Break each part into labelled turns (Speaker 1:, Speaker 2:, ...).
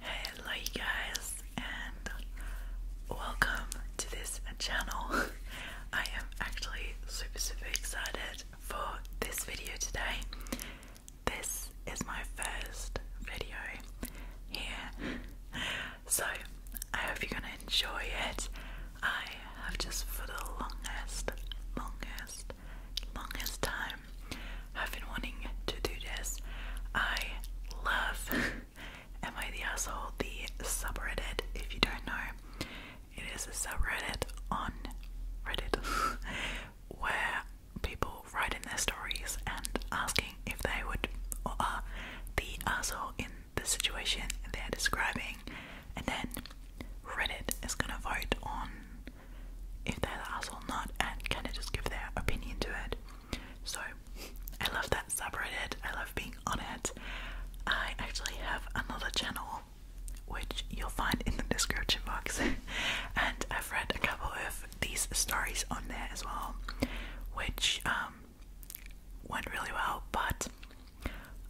Speaker 1: Hello you guys and welcome to this channel. I am actually super super excited for this video today. This is my first video here. So I hope you're gonna enjoy it. I have just for the longest, longest, longest time have been wanting to do this. I love Am I the Asshole? The subreddit, if you don't know, it is a subreddit on Reddit where people write in their stories and asking if they would or are the asshole in the situation they're describing, and then Reddit is gonna vote on if they're the asshole or not and kind of just give their opinion to it. So I love that subreddit. I love being on it. I actually have another channel which you'll find in the description box and I've read a couple of these stories on there as well which um, went really well but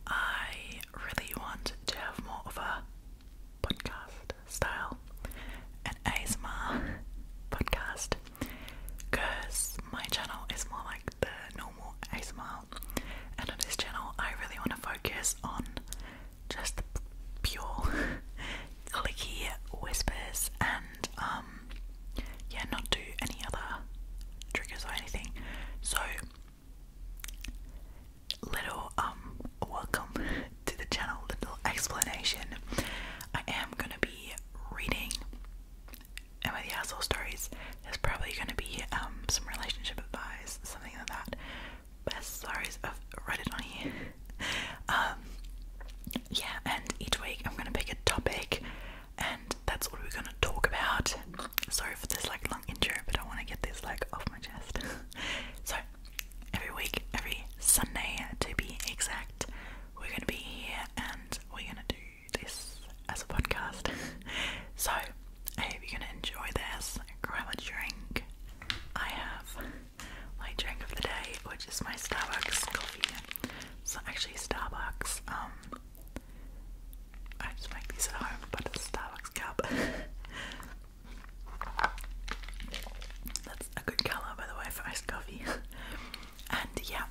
Speaker 1: I really want to have more of a podcast style and ASMR podcast because my channel is more like the normal ASMR and on this channel I really want to focus on just pure clicky whispers and um yeah not do any other triggers or anything so little um welcome to the channel little explanation. I am gonna be reading and with the asshole stories, there's probably gonna be um, some relationship advice, something like that. Best stories i of Reddit on here. um yeah, and each week I'm gonna pick a topic and that's what we're gonna talk about. Sorry for this like long intro, but I wanna get this like off my chest. so every week, every Sunday to be exact, we're gonna be here and we're gonna do this as a podcast. so I hope you're gonna enjoy this. Grab a drink. I have my drink of the day, which is my Starbucks coffee. So actually Starbucks, um I just make these at home, but it's a Starbucks cup. a good colour, by the way, for iced coffee. and yeah,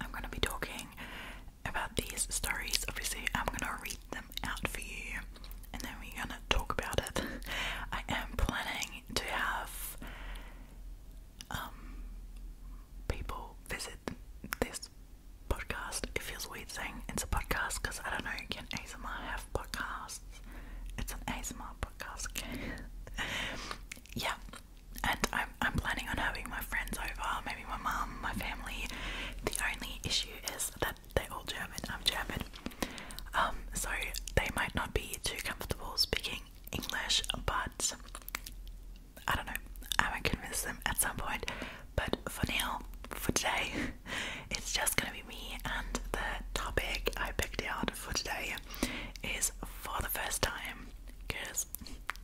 Speaker 1: I'm going to be talking about these stories. Obviously, I'm going to read them out for you and then we're going to talk about it. I am planning to have um, people visit this podcast. It feels weird saying it's a podcast because I don't know, can ASMR have podcasts? It's an ASMR podcast. yeah, and I'm I'm planning on having my friends over, maybe my mum, my family. The only issue is that they're all German. I'm German, um, so they might not be too comfortable speaking English, but. I don't know, I might convince them at some point, but for now, for today, it's just gonna be me and the topic I picked out for today is for the first time, because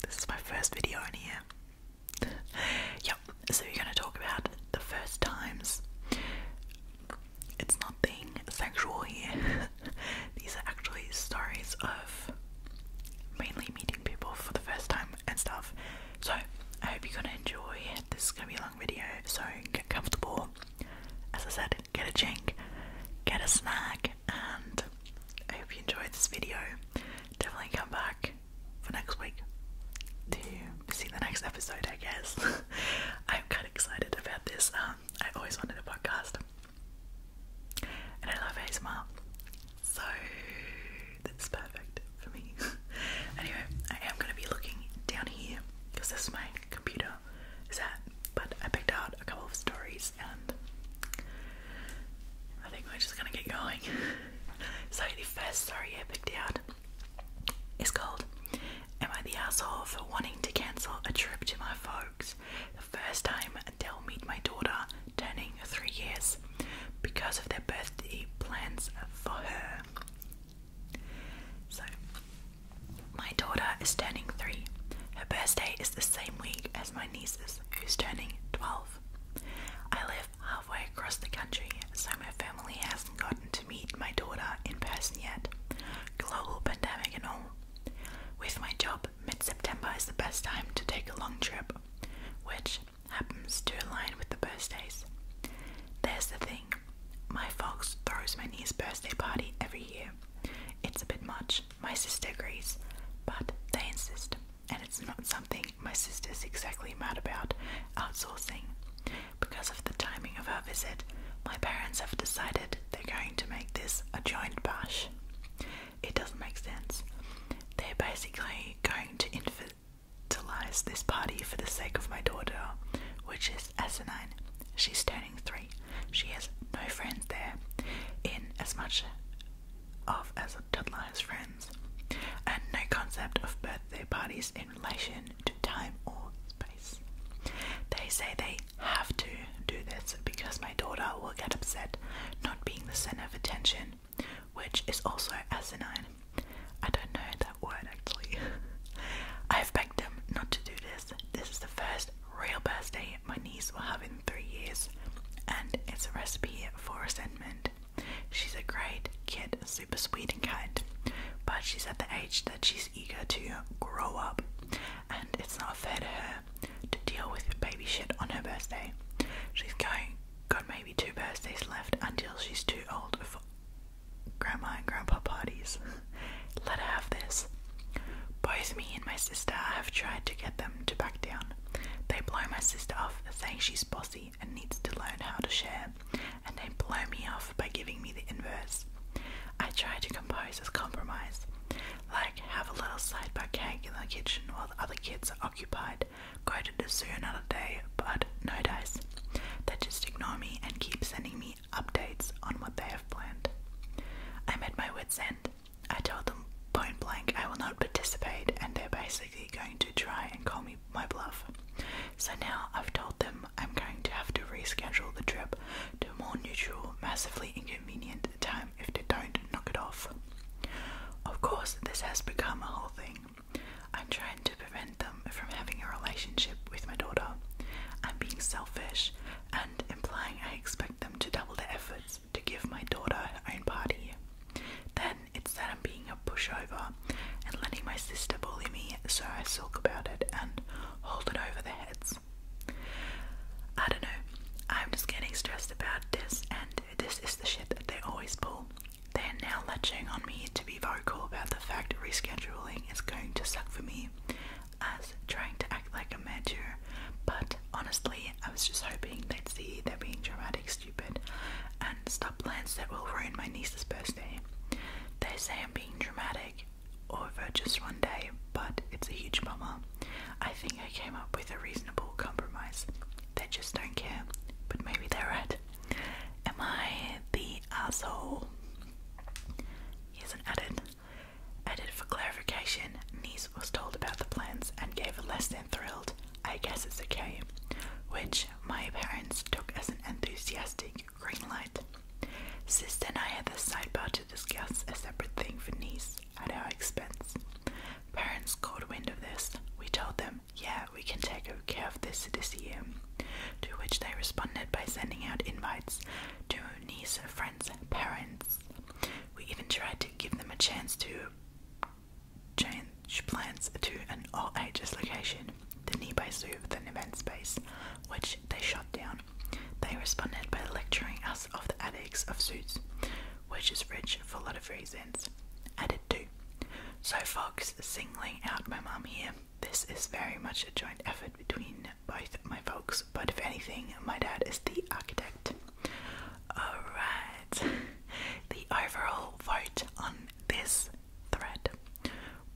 Speaker 1: this is my first video in here. yep, so we're gonna talk about the first times. It's nothing sexual here. These are actually stories of mainly meeting people for the first time and stuff. So I hope you're gonna enjoy. This is gonna be a long video, so get comfortable as I said, get a drink, get a snack, and I hope you enjoyed this video. Definitely come back for next week to see the next episode, I guess. I'm kind of excited about this. Um, I always wanted a podcast, and I love ASMR, so that's perfect for me. anyway, I am going to be looking down here because this is my computer is at, but I picked out a couple of stories and I think we're just gonna get going. so the first story I picked out is called Am I the Asshole for Wanting to Cancel a Trip to My Folks? The first time they'll meet my daughter turning three years because of their birthday plans for her. So my daughter is turning three. Her birthday is the same week as my niece's, who's turning 12. I live halfway across the country, so my family hasn't gotten to meet my daughter in person yet. Global pandemic and all. With my job, mid September is the best time to take a long trip, which happens to align with the birthdays. There's the thing my fox throws my niece's birthday party every year, it's a bit much, my sister agrees, but they insist, and it's not something my sister's exactly mad about outsourcing. Because of the timing of her visit, my parents have decided they're going to make this a joint bash. It doesn't make sense. They're basically going to infantilize this party for the sake of my daughter, which is asinine. She's turning three. She has no friends there, in as much of as a toddler has friends, and no concept of birthday parties in relation to time or space. They say they have to do this because my daughter will get upset not being the center of attention, which is also asinine. I don't know that word actually. I've begged them not to do this. This is the first birthday my niece will have in three years, and it's a recipe for resentment. She's a great kid, super sweet and kind, but she's at the age that she's eager to grow up, and it's not fair to her to deal with baby shit on her birthday. She's going, got maybe two birthdays left until she's too old for grandma and grandpa parties. Let her have this. Both me and my sister have tried to get them to back down. They blow my sister off, saying she's bossy and needs to learn how to share, and they blow me off by giving me the inverse. I try to compose as compromise, like have a little side by cake in the kitchen while the other kids are occupied, go to the zoo another day, but no dice. They just ignore me and keep sending me updates on what they have planned. I'm at my wits' end. I told them point blank I will not participate, and they're basically going to try and call me my bluff. So now I've told them I'm going to have to reschedule the trip to a more neutral, massively inconvenient time if they don't knock it off. Of course, this has become a whole thing. I'm trying to prevent them from having a relationship with my daughter. I'm being selfish and implying I expect them to double their efforts to give my daughter her own party. Then it's that I'm being a pushover and letting my sister bully me, so I sulk about it and hold it over their heads. I don't know, I'm just getting stressed about this, and this is the shit that they always pull. They are now latching on me to be vocal about the fact rescheduling is going to suck for me as trying to act like a mature, but honestly, I was just hoping they'd see they're being dramatic, stupid, and stop plans that will ruin my niece's birthday. They say I'm being dramatic over just one day, but it's a huge bummer. I think I came up with a reasonable compromise. They just don't care, but maybe they're right. Am I the asshole? Here's an added Added for clarification, Niece was told about the plans and gave a less than thrilled, I guess it's okay, which my parents took as an enthusiastic green light. Sister and I had this sidebar to discuss a separate thing for Niece at our expense. Parents caught wind of this. We told them, yeah, we can take care of this this year. To which they responded by sending out invites to niece, friends, parents, we even tried to give them a chance to change plans to an all ages location, the nearby zoo with an event space, which they shut down. They responded by lecturing us of the ethics of suits, which is rich for a lot of reasons. Added two. So Fox singling out my mum here. This is very much a joint effort between both my folks, but if anything, my dad is the architect. Alright, the overall vote on this thread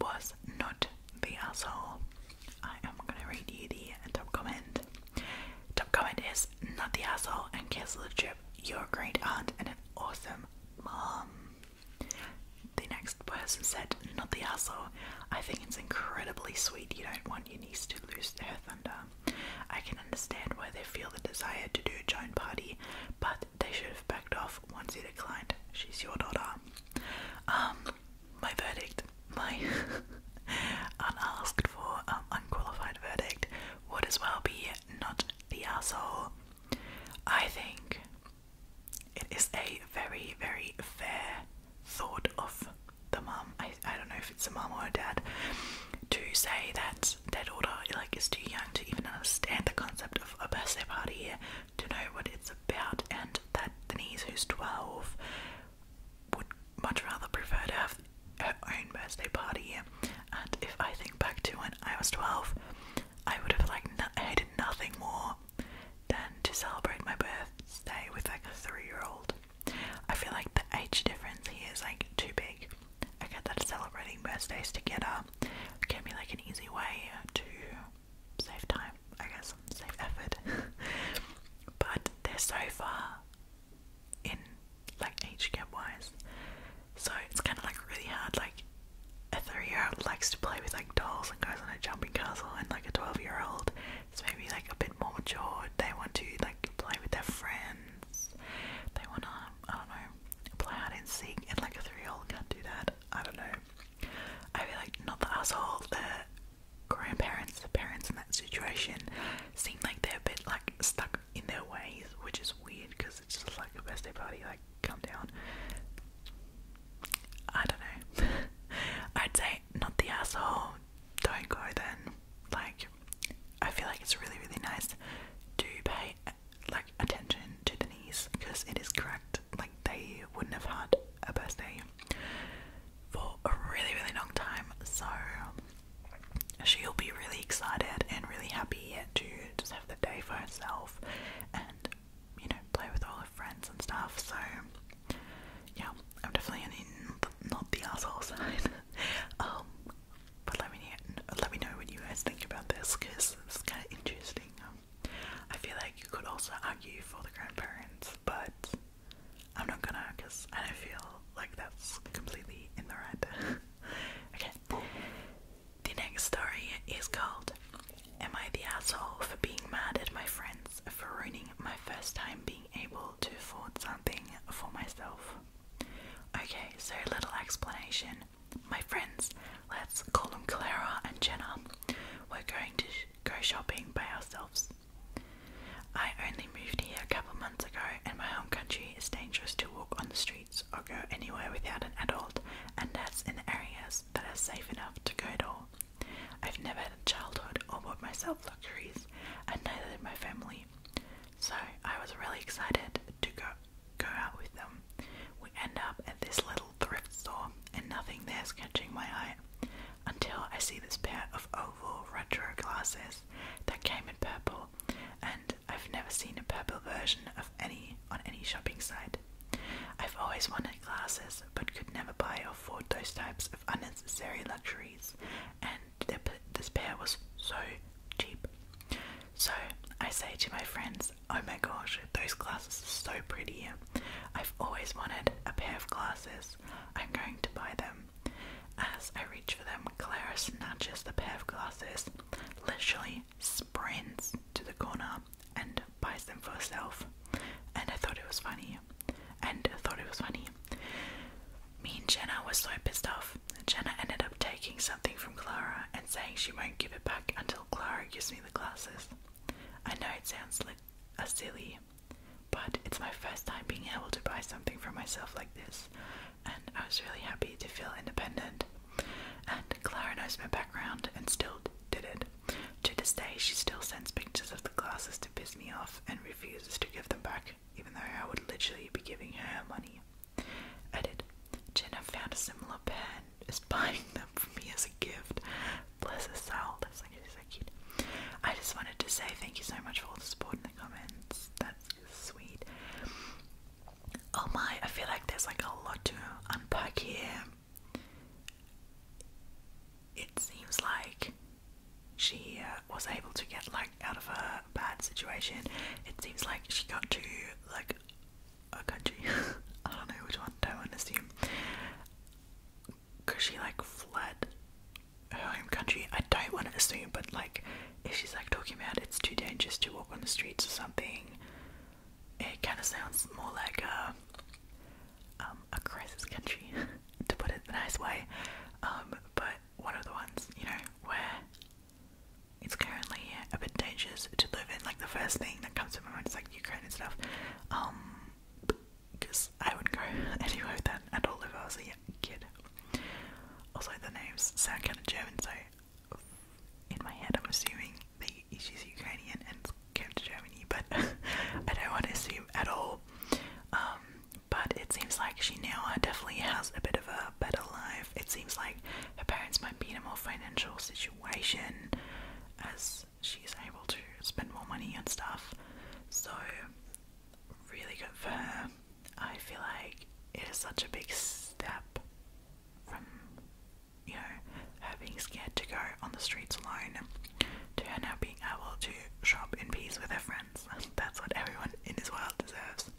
Speaker 1: was not the asshole. I am gonna read you the top comment. Top comment is not the asshole and cancel the trip. You're a great aunt and an awesome mom. The next person said, Not the asshole I think it's incredibly sweet. You don't want your niece to lose her thunder. I can understand why they feel the desire to do a joint party, but they should have backed off once you declined. She's your daughter. Um, my verdict, my unasked for, um, unqualified verdict would as well be not the asshole. I think it is a very, very fair thought of the mom, I, I don't know if it's a mom or a dad, to say that their daughter like is too young to even understand the concept of a birthday party, to know what it's about, and that the niece who's 12 would much rather prefer to have her own birthday party. And if I think back to when I was 12, I would have like hated nothing more than to celebrate my birthday with like a three year old. I feel like the age difference here is like too big. I get that celebrating birthdays together can be like an easy way to save time, I guess, save effort. but they're so far in like age gap wise. So it's kinda like really hard, like a three year old likes to play with like dolls and goes on a jumping castle and like a twelve year old it's maybe like a bit more mature. They want to like play with their friends. They want to, I don't know, play hide and seek. And like a three-year-old can't do that. I don't know. I feel like not the asshole. The grandparents, the parents in that situation, seem like they're a bit like stuck in their ways, which is weird because it's just like a birthday party. Like, come down. I don't know. I'd say not the asshole don't go then like i feel like it's really really nice to pay like attention to the knees because it is correct like they wouldn't have had a birthday for a really really long time so she'll be really excited and really happy to just have the day for herself and you know play with all her friends and stuff so yeah, I'm definitely in the, not the asshole side. um, but let me let me know what you guys think about this because it's kind of interesting. I feel like you could also argue for the grandparents, but I'm not gonna because I don't feel like that's completely in the right. okay, the next story is called. Am I the asshole for being mad at my friends for ruining my first time being able to afford something for myself. Okay, so little explanation. My friends, let's call them Clara and Jenna, we're going to go shopping by ourselves. I only moved here a couple months ago, and my home country is dangerous to walk on the streets or go anywhere without an adult, and that's in areas that are safe enough to go to. I've never had a childhood or bought myself luxuries, and neither did my family. So I was really excited to go go out with them. We end up at this little thrift store, and nothing there's catching my eye until I see this pair of oval retro glasses that came in purple, and I've never seen a purple version of any on any shopping site. I've always wanted glasses but could never buy or afford those types unnecessary luxuries, and this pair was so cheap. So I say to my friends, Oh my gosh, those glasses are so pretty. I've always wanted a pair of glasses. I'm going to buy them. As I reach for them, Clara snatches the pair of glasses, literally sprints to the corner, and buys them for herself. And I thought it was funny and thought it was funny. Me and Jenna were so pissed off. Jenna ended up taking something from Clara and saying she won't give it back until Clara gives me the glasses. I know it sounds like a silly, but it's my first time being able to buy something for myself like this, and I was really happy to feel independent. And Clara knows my background and still did it. To this day, she still sends pictures of the glasses to piss me off and refuses to give them back, even though I would literally be giving her money. Edit. Jenna found a similar pen, is buying them for me as a gift. Bless her soul. That's like so cute. I just wanted to say thank you so much for all the support in the comments. That's sweet. Oh my, I feel like there's like a lot to unpack here. It seems like she uh, was able to get like out of a bad situation. It seems like she got to like a country. I don't know which one. Don't want to assume. Cause she like fled her home country. I don't want to assume, but like if she's like talking about it's too dangerous to walk on the streets or something, it kind of sounds more like a um, a crisis country. to put it the nice way, um, but one of the ones, you know, where it's currently a bit dangerous to live in. Like the first thing that comes to my mind is like Ukraine and stuff. Um, because I wouldn't go anywhere with that at all if I was a kid. Also, the names sound kind of German, so in my head, I'm assuming that she's Ukrainian and came to Germany, but I don't want to assume at all. Um, but it seems like she now uh, definitely has a bit of a better life. It seems like her parents might be in a more financial situation as she's able to spend more money and stuff. So, really good for her. I feel like it is such a big step from, you know, her being scared to go on the streets alone Joanna being able to shop in peace with her friends. That's what everyone in this world deserves.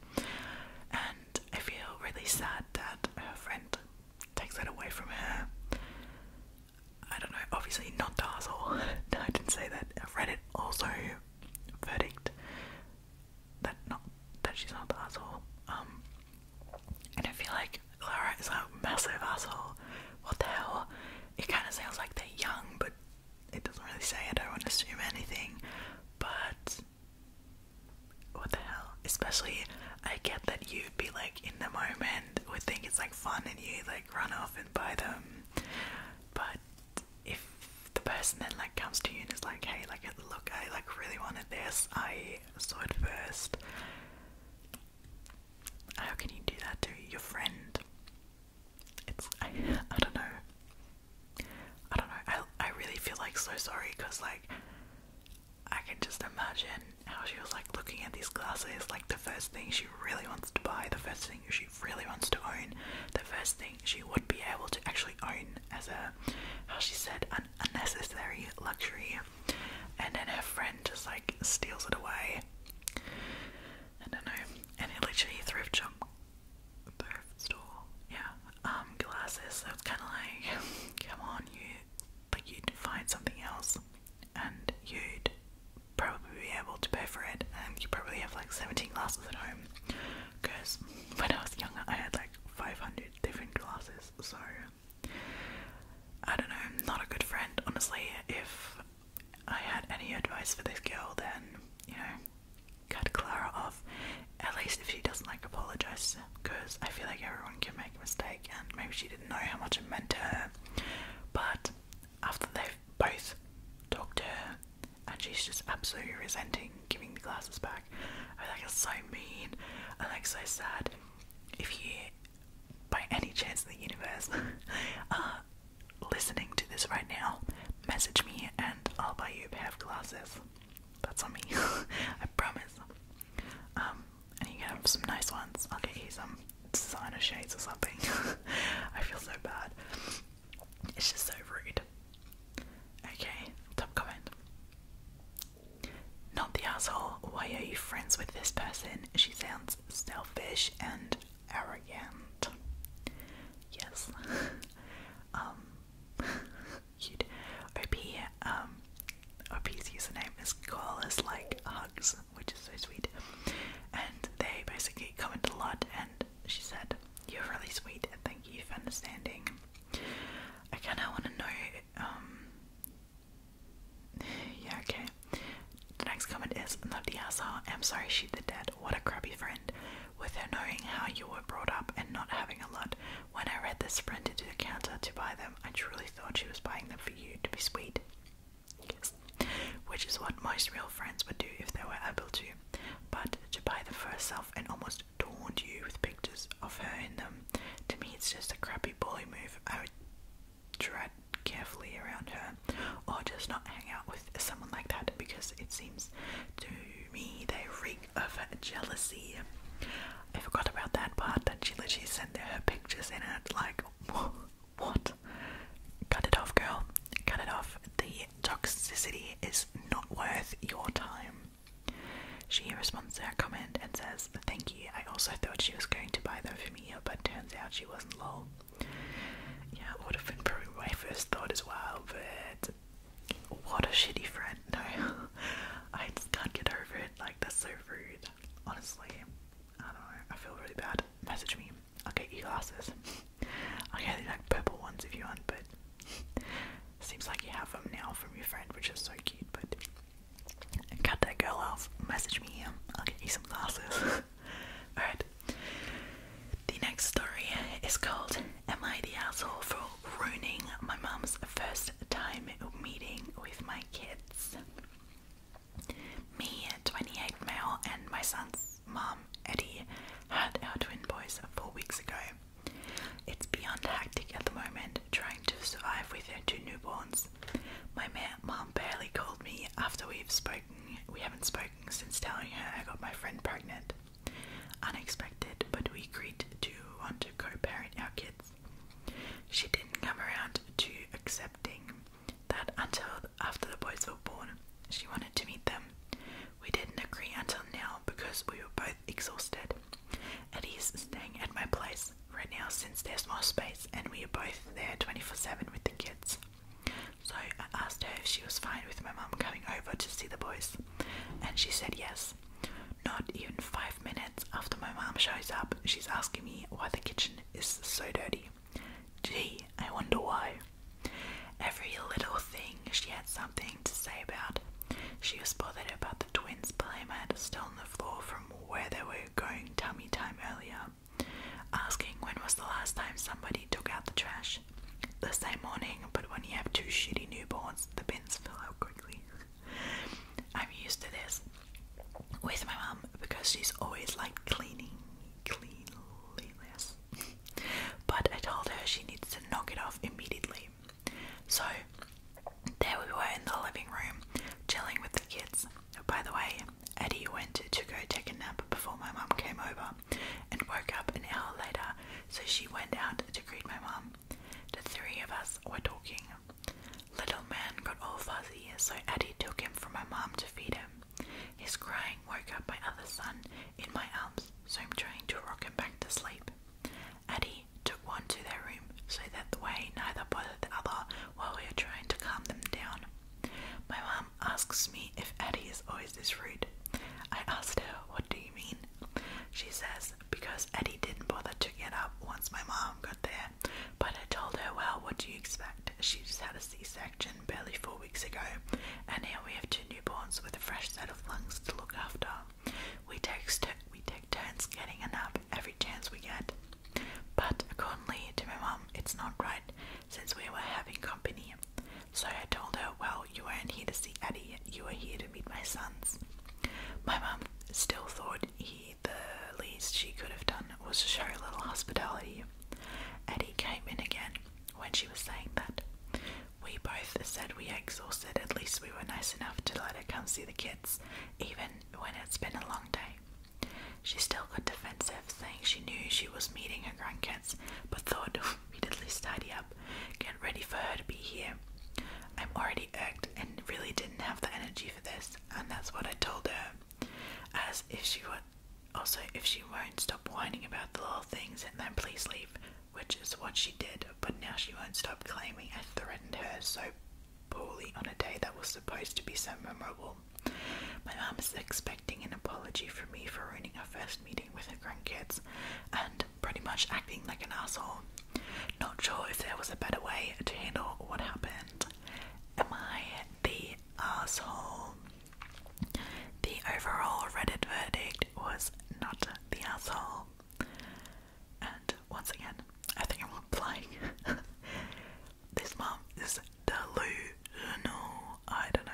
Speaker 1: And I feel really sad that her friend takes that away from her. I don't know, obviously not the Dazzle. no, I didn't say that. Reddit also verdict that not that she's not the asshole. Um and I feel like Clara is a massive asshole. What the hell? It kinda sounds like they're young but it doesn't really say, I don't want to assume anything, but what the hell? Especially, I get that you'd be like in the moment, would think it's like fun, and you like run off and buy them. But if the person then like comes to you and is like, hey, like, look, I like really wanted this, I saw it first. How can you do that to your friend? it's I, don't know. I don't know. I I really feel like so sorry because like I can just imagine how she was like looking at these glasses, like the first thing she really wants to buy, the first thing she really wants to own, the first thing she would be able to actually own as a how she said an unnecessary luxury. And then her friend just like steals it away. I don't know, and it literally thrift shop, thrift store, yeah, um, glasses, so it's kind of like, come on, you, like, you'd find something else, and you'd probably be able to pay for it, and you probably have, like, 17 glasses at home, because when I was younger, I had, like, 500 different glasses, so, I don't know, not a good friend, honestly, if I had any advice for this girl, then you know, cut Clara off. At least if she doesn't like apologize, because I feel like everyone can make a mistake, and maybe she didn't know how much it meant to her. But after they've both talked to her, and she's just absolutely resenting giving the glasses back, I feel like it's so mean and like so sad. If you, by any chance in the universe, are listening to this right now, message me and I'll buy you a pair of glasses. That's on me. I promise. Um, and you can have some nice ones. I'll get you some designer shades or something. I feel so bad. It's just so rude. Okay, top comment. Not the asshole. Why are you friends with this person? She sounds selfish and arrogant yes. um, cute. um, OP's username is Koalas Like Hugs, which is so sweet. And they basically commented a lot, and she said, You're really sweet, thank you for understanding. I kinda wanna know, um, yeah, okay. The next comment is Nadia Sa, I'm sorry she did that. What a crappy friend. With her knowing how you were brought up and not having a lot, when I read this sprint into the counter to buy them, I truly thought she was buying them for you to be sweet. Yes. Which is what most real friends would do if they were able to. But to buy them for herself and almost taunt you with pictures of her in them, to me it's just a crappy bully move. I would tread carefully around her or just not hang out with someone like that because it seems to me they reek of jealousy. I forgot about that part that she literally sent her pictures in it like what? Cut it off, girl. Cut it off. The toxicity is not worth your time. She responds to her comment and says, Thank you. I also thought she was going to buy them for me, but turns out she wasn't lol. Yeah, would have been probably my first thought as well, but what a shitty friend. No, I just can't get over it. Like, that's so rude. Honestly, I don't know. I feel really bad. Message me. I'll get you glasses. I'll get like purple ones if you want, but seems like you have them now from your friend, which is so cute. But cut that girl off. Message me. I'll get you some glasses. Alright. The next story is called Am I the Asshole for Ruining My mom's First Time Meeting with My Kids? Me, 28 male, and my son's mom, Eddie, had our twin boys four weeks ago. It's beyond hectic at the moment trying to survive with her two newborns. My mom, barely called me after we've spoken. We haven't spoken since telling her I got my friend pregnant. Unexpected, but we agreed to want to co parent our kids. She didn't come around to accepting that until after the boys were born. She wanted to meet them. We didn't agree until now because we were both exhausted. Eddie's staying at my place right now since there's more space and we are both there 24 7 with the kids. So I asked her if she was fine with my mum coming over to see the boys, and she said yes. Not even five minutes after my mum shows up, she's asking me why the kitchen is so dirty. Gee, I wonder why. Every little thing she had something to say about. She was bothered about the twins' playmat still on the floor from where they were going tummy time earlier, asking when was the last time somebody took out the trash lunch the same morning, but when you have two shitty newborns, the bins fill up quickly. I'm used to this with my mum because she's always like cleaning, cleanliness. but I told her she needs to knock it off immediately. So there we were in the living room, chilling with the kids. By the way, Eddie went to go take a nap before my mum came over, and woke up an hour later, so she went out to greet my mom. The three of us were talking. Little man got all fuzzy, so Addie took him from my mom to feed him. His crying woke up my other son in my arms, so I'm trying to rock him back to sleep. Addie took one to their room so that the way neither bothered the other while we were trying to calm them down. My mom asks me if Eddie is always this rude. I asked her, What do you mean? She says, Because Eddie didn't bother to get up once my mom got there. But I told her, Well, what do you expect? She just had a C section barely four weeks ago, and now we have two newborns with a fresh set of lungs to look after. We take, we take turns getting a nap every chance we get. But according to my mom, it's not right since we were having company so I told her, Well, you weren't here to see Addie, you were here to meet my sons. My mum still thought he the least she could have done was to show a little hospitality. Addie came in again when she was saying that. We both said we exhausted, at least we were nice enough to let her come see the kids, even when it's been a long day. She still got defensive saying she knew she was meeting her grandkids, but thought oh, we'd at least up, get ready for her to be here. I'm already irked and really didn't have the energy for this, and that's what I told her. As if she would, also if she won't stop whining about the little things, and then please leave, which is what she did. But now she won't stop claiming I threatened her so poorly on a day that was supposed to be so memorable. My mom is expecting an apology from me for ruining our first meeting with her grandkids and pretty much acting like an asshole. Not sure if there was a better way to handle what happened. Am I the asshole? The overall Reddit verdict was not the asshole. And once again, I think I'm applying. this mom is delusional. I don't know.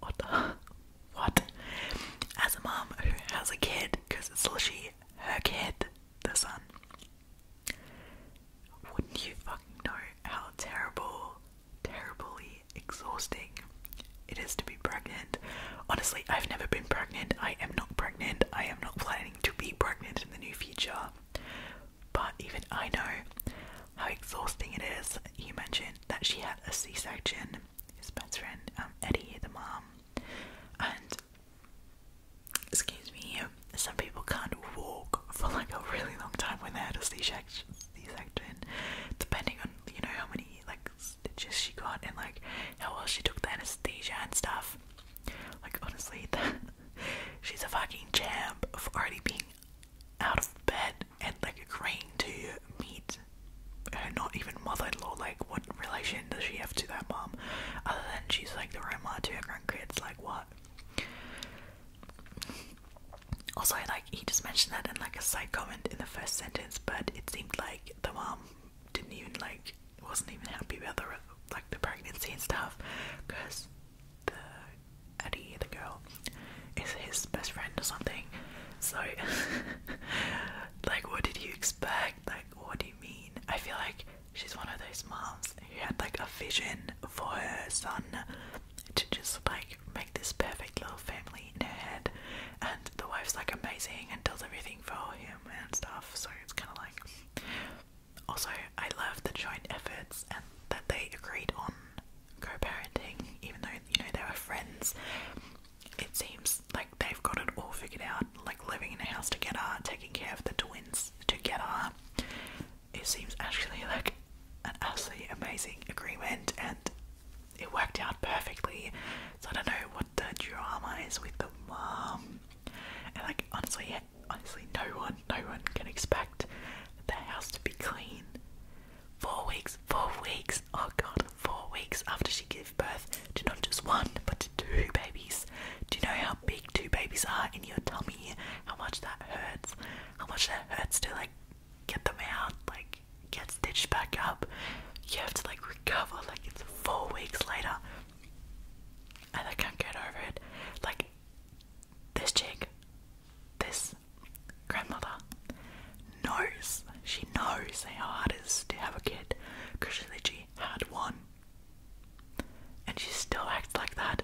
Speaker 1: What What? As a mom who has a kid, because it's literally her kid, the son. Wouldn't you fucking know how terrible, terribly exhausting it is to be pregnant? Honestly, I've never been pregnant. I am not pregnant. I am not planning to be pregnant in the near future. But even I know how exhausting it is. You mentioned that she had a C-section. His best friend, um, Eddie, the mom, and excuse me, some people can't walk for like a really long time when they had a C-section. C-section, depending on you know how many like stitches she got and like how well she took the anesthesia and stuff. Like honestly, she's a fucking champ for already being out of bed and like a agreeing to meet her not even mother-in-law. Like, what relation does she have to that mom? Other than she's like the grandma to her grandkids. Like, what? Also, like he just mentioned that in like a side comment in the first sentence, but it seemed like the mom didn't even like wasn't even happy about the like the pregnancy and stuff because the Eddie, the girl, is his best friend or something. So, like, what did you expect? Like, what do you mean? I feel like she's one of those moms who had like a vision for her son to just like make this perfect little family in her head, and the wife's like amazing and does everything for him and stuff. So it's kind of like. Also, I love the joint efforts and that they agreed on co-parenting, even though you know they were friends. It seems like they've got it all figured out, like living in a house together, taking care of the twins together. It seems actually like an absolutely amazing agreement, and it worked out perfectly. So I don't know what the drama is with the mom, and like honestly, honestly, no one, no one can expect the house to be clean Four weeks, four weeks, oh god, four weeks after she gave birth to not just one, but two babies. Do you know how big two babies are in your tummy? How much that hurts? How much that hurts to like get them out, like get stitched back up. You have to like recover, like it's four weeks later. And I can't get over it. Like this chick, this grandmother knows, she knows how hard it is to have a kid because she literally had one. And she still acts like that.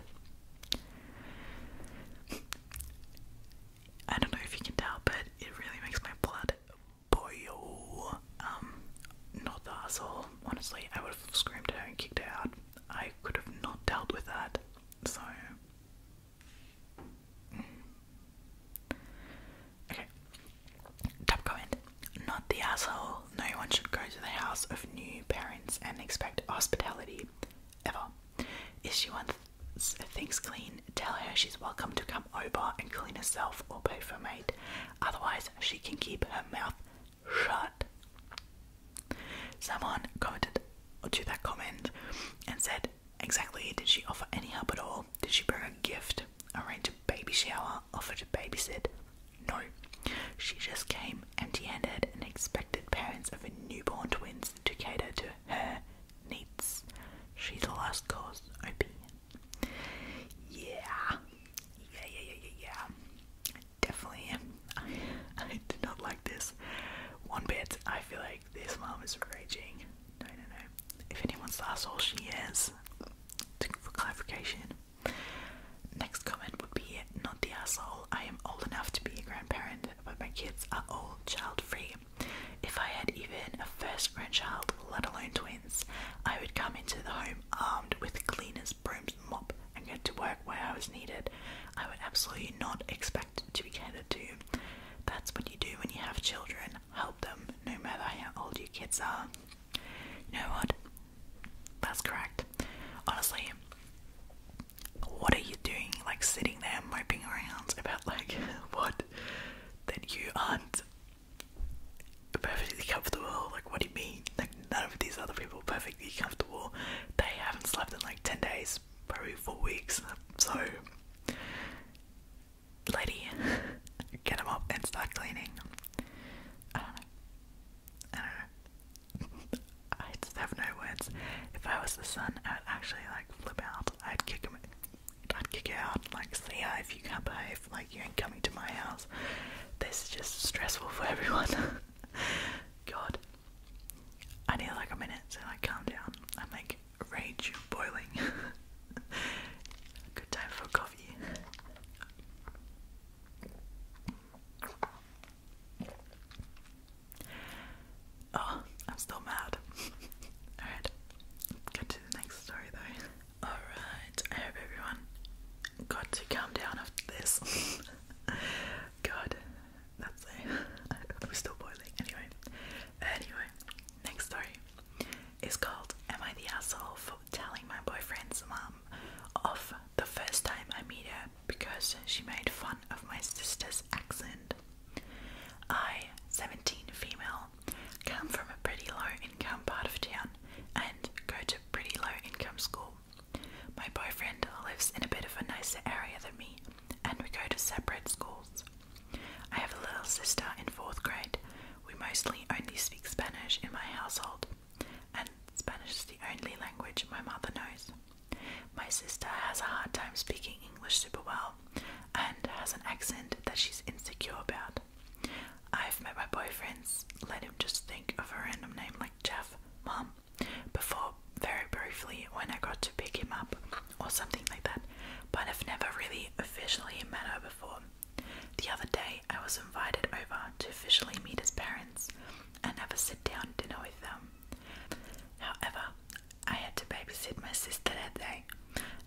Speaker 1: I don't know if you can tell, but it really makes my blood boil. Um, not the asshole. Honestly, I would have screamed at her and kicked her out. I could have not dealt with that. So, Okay. Top comment. Not the asshole. No one should go to the house of new parents and expect hospitality. Ever. If she wants things clean, tell her she's welcome to come over and clean herself or pay for maid. Otherwise, she can keep her mouth shut. Someone commented to that comment and said, exactly did she offer any help at all? Did she bring a gift, arrange a baby shower, offer to babysit? No. She just came empty handed and expected parents of her newborn twins to cater to her needs. She's the last cause, OP. Yeah. Yeah, yeah, yeah, yeah, Definitely. I, I did not like this one bit. I feel like this mom is raging. No, no, no. If anyone's that's all she is, for clarification. Next comment would be not the asshole. I am old enough to be a grandparent, but my kids are all child free. If I had even a first grandchild, let alone twins, I would come into the home armed with cleaners, brooms, mop, and get to work where I was needed. I would absolutely not expect to be catered to. That's what you do when you have children. Help them, no matter how old your kids are. You know what? That's correct. Honestly, what are you doing, like sitting there moping around about like what that you aren't perfectly comfortable? Like, what do you mean? Like, none of these other people are perfectly comfortable. They haven't slept in like ten days, probably four weeks. So lady, get him up and start cleaning. I don't know. I don't know. I just have no words. If I was the son, I would actually like flip out. I'd kick him. I'd kick out. Like, see if you can't behave. Like, you ain't coming to my house. This is just stressful for everyone. God, I need like a minute to like calm down. I'm like rage boiling. Good time for coffee. Oh, I'm still mad. Alright, get to the next story though. Alright, I hope everyone got to calm down after this. God, that's it. I'm still boiling. Anyway, anyway, next story is called "Am I the asshole for telling my boyfriend's mom off the first time I meet her because she made fun of my sister's accent?" I, 17 female, come from a pretty low-income part of town and go to pretty low-income school. My boyfriend lives in a bit of a nicer area than me, and we go to separate schools. I have a little sister in fourth grade. We mostly only speak Spanish in my household, and Spanish is the only language my mother knows. My sister has a hard time speaking English super well and has an accent that she's insecure about. I've met my boyfriends, let him just think of a random name like Jeff, Mom. before very briefly when I got to pick him up or something like that, but I've never really officially met her before. The other day, I was invited over to officially meet his parents and have a sit down dinner with them. However, I had to babysit my sister that day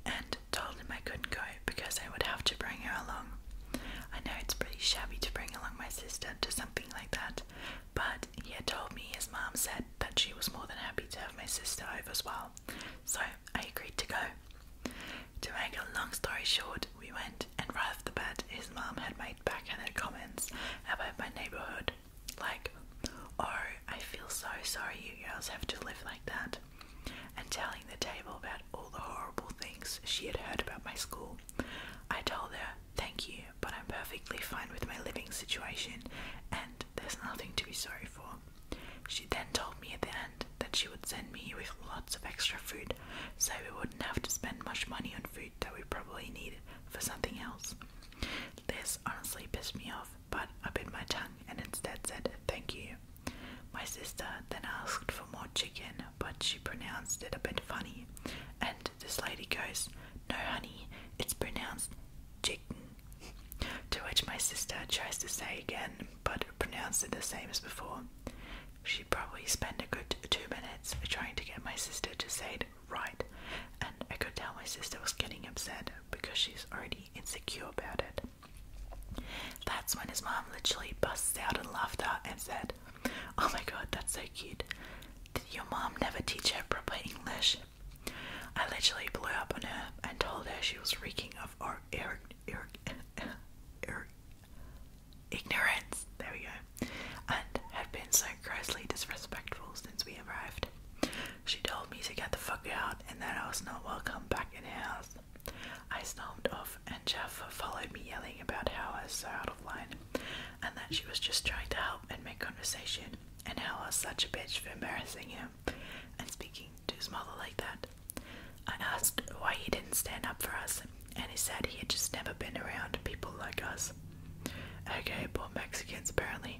Speaker 1: and told him I couldn't go because I would have to bring her along. I know it's pretty shabby to bring along my sister to something like that, but he had told me his mom said said that she was more than happy to have my sister over as well, so I agreed to go. To make a long story short, we went, and right off the bat, his mom had made backhanded comments about my neighbourhood, like, Oh, I feel so sorry you girls have to live like that, and telling the table about all the horrible things she had heard about my school. I told her, Thank you, but I'm perfectly fine with my living situation and there's nothing to be sorry for. She then told me at the end that she would send me with lots of extra food so we wouldn't have to spend much money on food that we probably need for something else. This honestly pissed me off, but I bit my tongue and instead said thank you. My sister then asked for more chicken, but she pronounced it a bit funny. And this lady goes, No, honey, it's pronounced chicken. To which my sister tries to say again, but pronounced it the same as before. She probably spent a good two minutes trying to get my sister to say it right, and I could tell my sister was getting upset because she's already insecure about it. That's when his mom literally busts out in laughter and said, Oh my god, that's so cute. Did your mom never teach her proper English? I literally blew up on her and told her she was reeking of or ignorance. There we go. And had been so grossly disrespectful since we arrived. She told me to get the fuck out and that I was not welcome back in her house. I stormed off, and Jaffa followed me, yelling about how I was so out of line, and that she was just trying to help and make conversation, and how I was such a bitch for embarrassing him and speaking to his mother like that. I asked why he didn't stand up for us, and he said he had just never been around people like us. Okay, poor Mexicans apparently.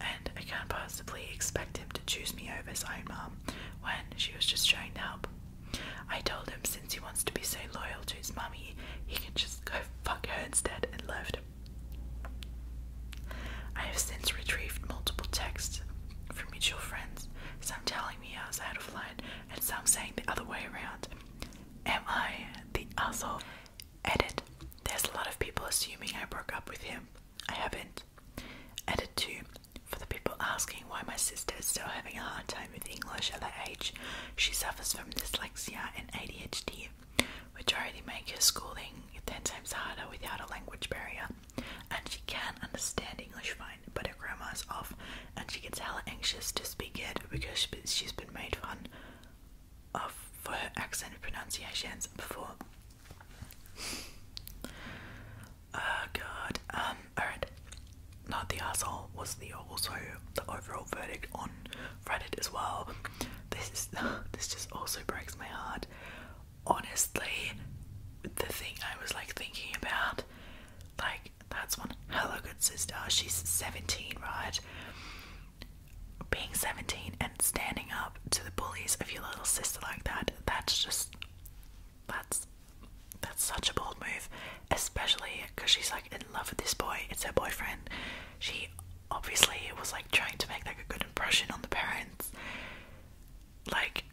Speaker 1: And I can't possibly expect him to choose me over his own mom when she was just trying to help. I told him since he wants to be so loyal to his mummy, he can just go fuck her instead and left. I have since retrieved multiple texts from mutual friends, some telling me I was out of line, and some saying the other way around. Am I the asshole? Edit. There's a lot of people assuming I broke up with him. I haven't. Edit 2. For the people asking why my sister is still having a hard time with English at that age, she suffers from dyslexia and ADHD which already make her schooling 10 times harder without a language barrier. And she can understand English fine, but her is off, and she gets hell anxious to speak it because she's been made fun of for her accent and pronunciations before. oh god. Um, alright. Not the asshole was the also the overall verdict on Reddit as well. This is this just also breaks my heart honestly, the thing I was like thinking about, like, that's one hello good sister. She's 17, right? Being 17 and standing up to the bullies of your little sister like that, that's just, that's, that's such a bold move, especially because she's like in love with this boy. It's her boyfriend. She obviously it was like trying to make like a good impression on the parents. Like,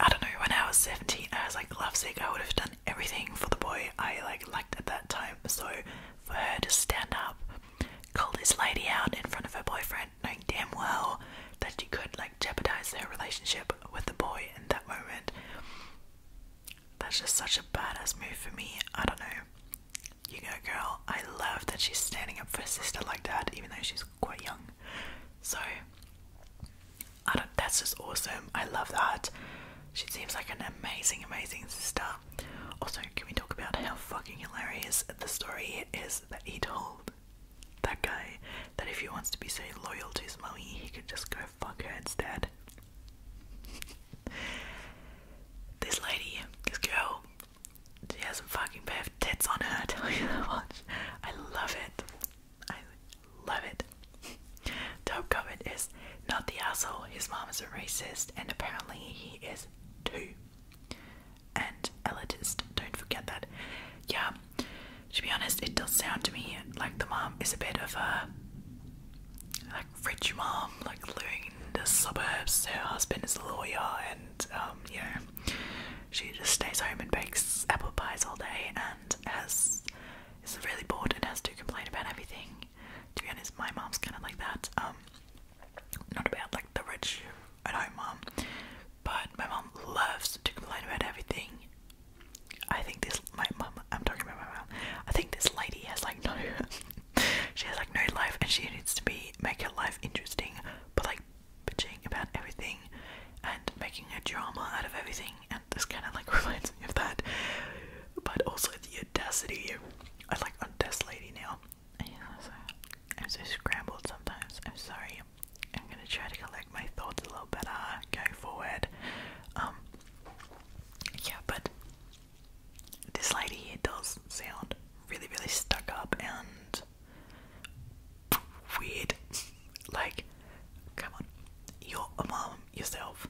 Speaker 1: I don't know, when I was 17 I was like lovesick, I would have done everything for the boy I like liked at that time. So for her to stand up, call this lady out in front of her boyfriend, knowing damn well that she could like jeopardize their relationship with the boy in that moment. That's just such a badass move for me. I don't know. You go, girl. I love that she's standing up for a sister like that, even though she's quite young. So, I don't, that's just awesome. I love that. She seems like an amazing, amazing sister. Also, can we talk about how fucking hilarious the story is that he told that guy that if he wants to be so loyal to his mommy, he could just go fuck her instead? this lady, this girl, she has some fucking pair of tits on her, I tell you that much. I love it. I love it. Dope comment is not the asshole. His mom is a racist, and apparently he is too. And elitist. Don't forget that. Yeah. To be honest, it does sound to me like the mom is a bit of a like rich mom, like living in the suburbs. Her husband is a lawyer, and and um, she just stays home and bakes apple pies all day and has is really bored and has to complain about everything. To be honest, my mom's kind of like that. Um, not about like the rich at home mom, but my mom loves to complain about everything. I think this my mum. I'm talking about my mum. I think this lady has like no. she has like no life, and she needs to be make her life interesting. But like like about everything and making a drama out of everything, and this kind of like reminds me of that. But also the audacity. I like audacity lady now. I'm so scrambled sometimes. I'm sorry. I'm gonna try to collect my thoughts a little better going forward. Um, yeah, but this lady here does sound really, really stuck up and weird. like, come on, you're a mom yourself.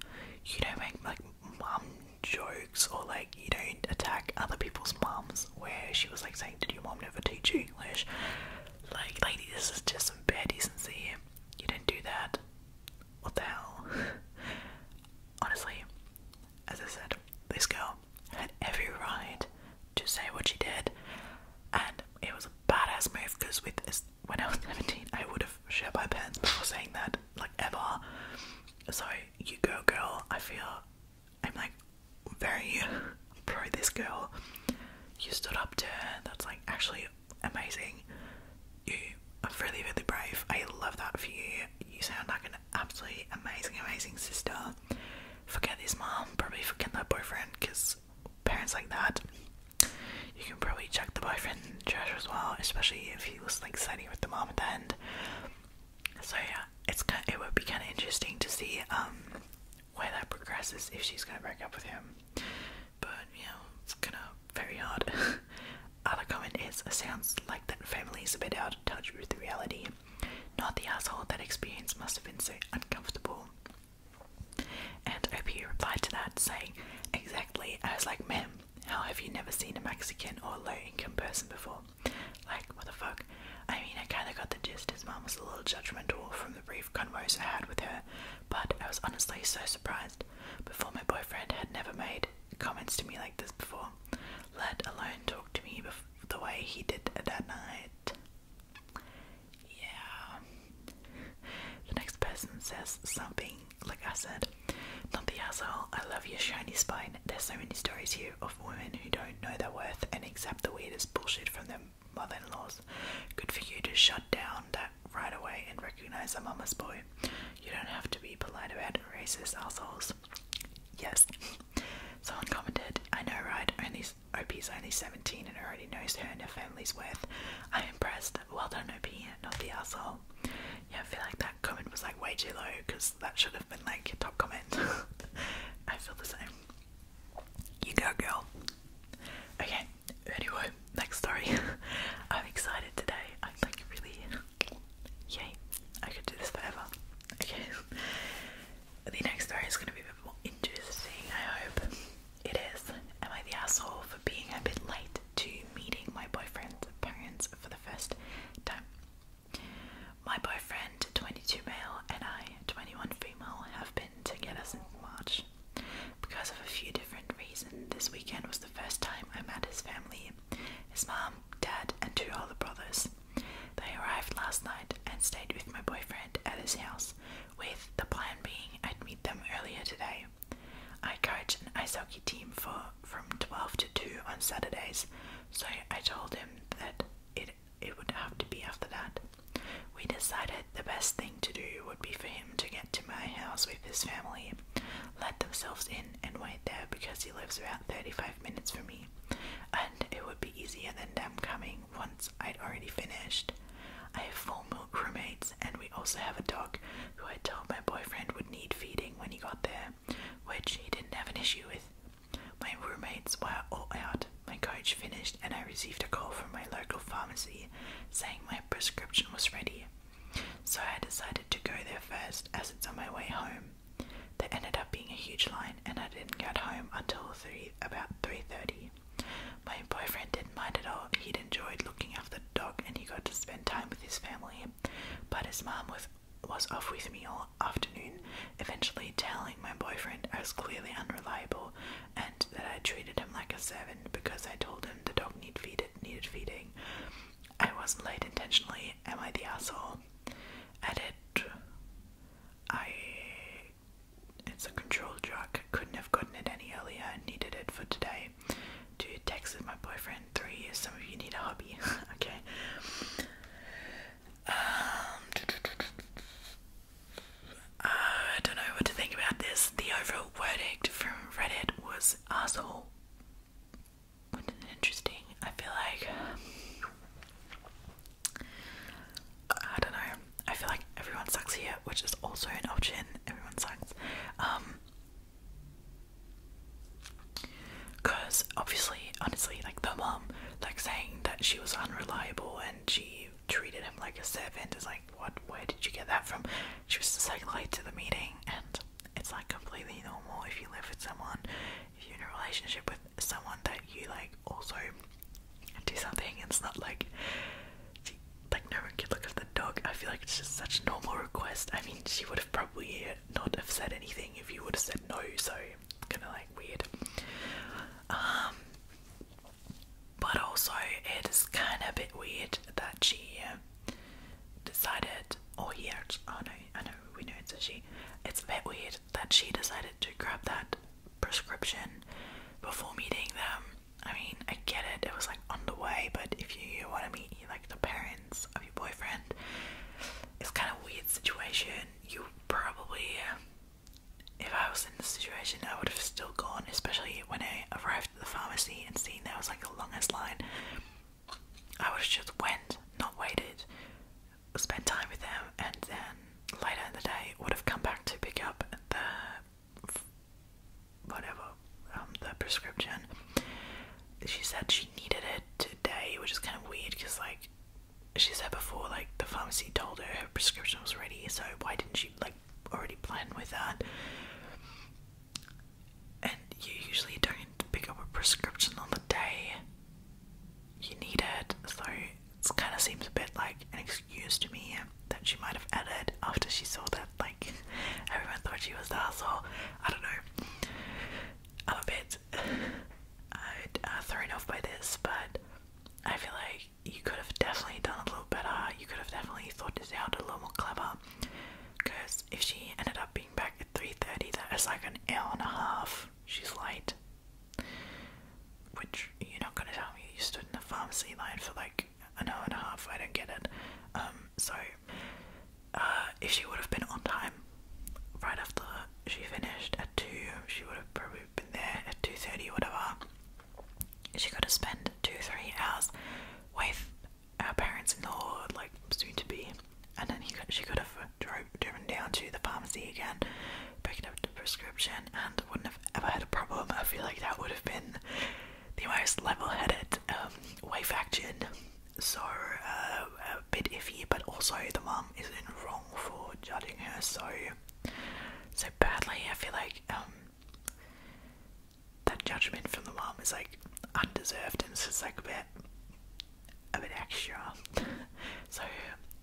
Speaker 1: You don't make like mom jokes or like you don't attack other people's moms. Where she was like saying, "Did your mom never teach you English?" Like, lady, this is just some bad decency. You didn't do that. What the hell? Honestly, as I said, this girl girl had every right to say what she did, and it was a badass move because with when I was 17, I would have shit my pants before saying that, like ever. So, you go, girl. I feel I'm like very pro this girl. You stood up to her, that's like actually amazing. You are really, really brave. I love that for you. You sound like an absolutely amazing, amazing sister. Forget his mom, probably forget that boyfriend because parents like that, you can probably check the boyfriend in trash as well, especially if he was like siding with the mom at the end. So yeah, it's kind of, it would be kind of interesting to see um where that progresses if she's gonna break up with him. But you know, it's gonna very hard. Other comment is, sounds like that family is a bit out of touch with reality. Not the asshole that experience must have been so uncomfortable. And OP replied to that, saying, Exactly. I was like, Ma'am, how have you never seen a Mexican or low income person before? Like, what the fuck? I mean, I kinda got the gist. His mom was a little judgmental from the brief converse I had with her, but I was honestly so surprised. Before my boyfriend had never made comments to me like this before, let alone talk to me before the way he did that night. Yeah. The next person says something like I said, not the asshole, I love your shiny spine. There's so many stories here of women who don't know their worth and accept the weirdest bullshit from their mother in laws. Good for you to shut down that right away and recognize a mama's boy. You don't have to be polite about racist assholes. Yes, Someone commented, I know, right? Only OP's only 17 and already knows her and her family's worth. I'm impressed. Well done, OP, not the asshole. Yeah, I feel like that comment was like way too low because that should have been like your top comment. I feel the same. You go, girl. Okay, anyway, next story. I'm excited today. I'm like really. Yay, I could do this forever. Okay. The next story is going to be a bit more interesting, I hope. It is. Am I the asshole for being a bit late to meeting my boyfriend's parents for the first time? My boyfriend, 22 male, and I, 21 female, have been together since March. Because of a few different reasons, this weekend was the first time I met his family his mom, dad, and two older brothers. They arrived last night and stayed with my boyfriend at his house, with the plan being I'd meet them earlier today. I coach an ice hockey team for from 12 to 2 on Saturdays, so I told him that it it would have to be after that. We decided the best thing to do would be for him to get to my house with his family, let themselves in, and wait there because he lives about 35 minutes from me and it would be easier than them coming once I'd already finished. I have four more roommates, and we also have a dog who I told my boyfriend would need feeding when he got there, which he didn't have an issue with. My roommates were all out. My coach finished, and I received a call from my local pharmacy saying my prescription was ready. So I decided to go there first as it's on my way home. That ended up being a huge line, and I didn't get home until about three thirty. My boyfriend didn't mind at all. He'd enjoyed looking after the dog, and he got to spend time with his family. But his mom was was off with me all afternoon, eventually telling my boyfriend I was clearly unreliable and that I treated him like a servant because I told him the dog need needed feeding. I wasn't late intentionally. Am I the asshole? Edit. I it's a control jock. Couldn't have gotten it any earlier. Needed it for today. Dude texted my boyfriend three years. Some of you need a hobby. okay. Um, I don't know what to think about this. The overall verdict from Reddit was asshole. interesting. I feel like I don't know. I feel like everyone sucks here, which is also an option. Everyone sucks. Um because obviously honestly like the mom like saying that she was unreliable and she treated him like a servant is like what where did you get that from she was the second late to the meeting and it's like completely normal if you live with someone if you're in a relationship with someone that you like also do something, it's not like like no one could look at the dog. I feel like it's just such a normal request. I mean, she would have probably not have said anything if you would have said no. So kind of like weird. Um, but also it is kind of a bit weird that she decided, Oh yeah. actually, oh no, I know we know it's a she. It's a bit weird that she decided to grab that prescription before meeting them. I mean, I get it, it was like on the way, but if you want to meet like the parents of your boyfriend, it's kind of weird situation. You probably, if I was in the situation, I would have still gone, especially when I arrived at the pharmacy and seen there was like the longest line. I would have just went, not waited spent time with them, and then later in the day would have come back to pick up the whatever um, the prescription. She said she needed it today, which is kind of weird because like she said before, like the pharmacy told her her prescription was ready, so why didn't she like already plan with that? And you usually don't pick up a prescription on the day you need it, so it kind of seems a bit like an excuse to me that she might have added after she saw that like everyone thought she was the asshole. I don't know. I'm a bit uh, thrown off by this, but I feel like you could have definitely done a little better. You could have definitely thought this out a little more clever. Because if she ended up being back at 3:30, that is like an hour and a half. She's late. Which you're not gonna tell me you stood in the pharmacy line for like an hour and a half. I don't get it. Um, so uh, if she would have been on time, right after she finished at two, she would have probably been there at two thirty, or whatever. She could have spent two, three hours with her parents in the hall, like soon to be, and then she could have driven down to the pharmacy again picking up the prescription and wouldn't have ever had a problem. I feel like that would have been the most level headed um, wife action. So, uh, a bit iffy, but also the mum is in wrong for judging her so so badly. I feel like um, that judgment from the mum is like undeserved and it's just like a bit a bit extra. So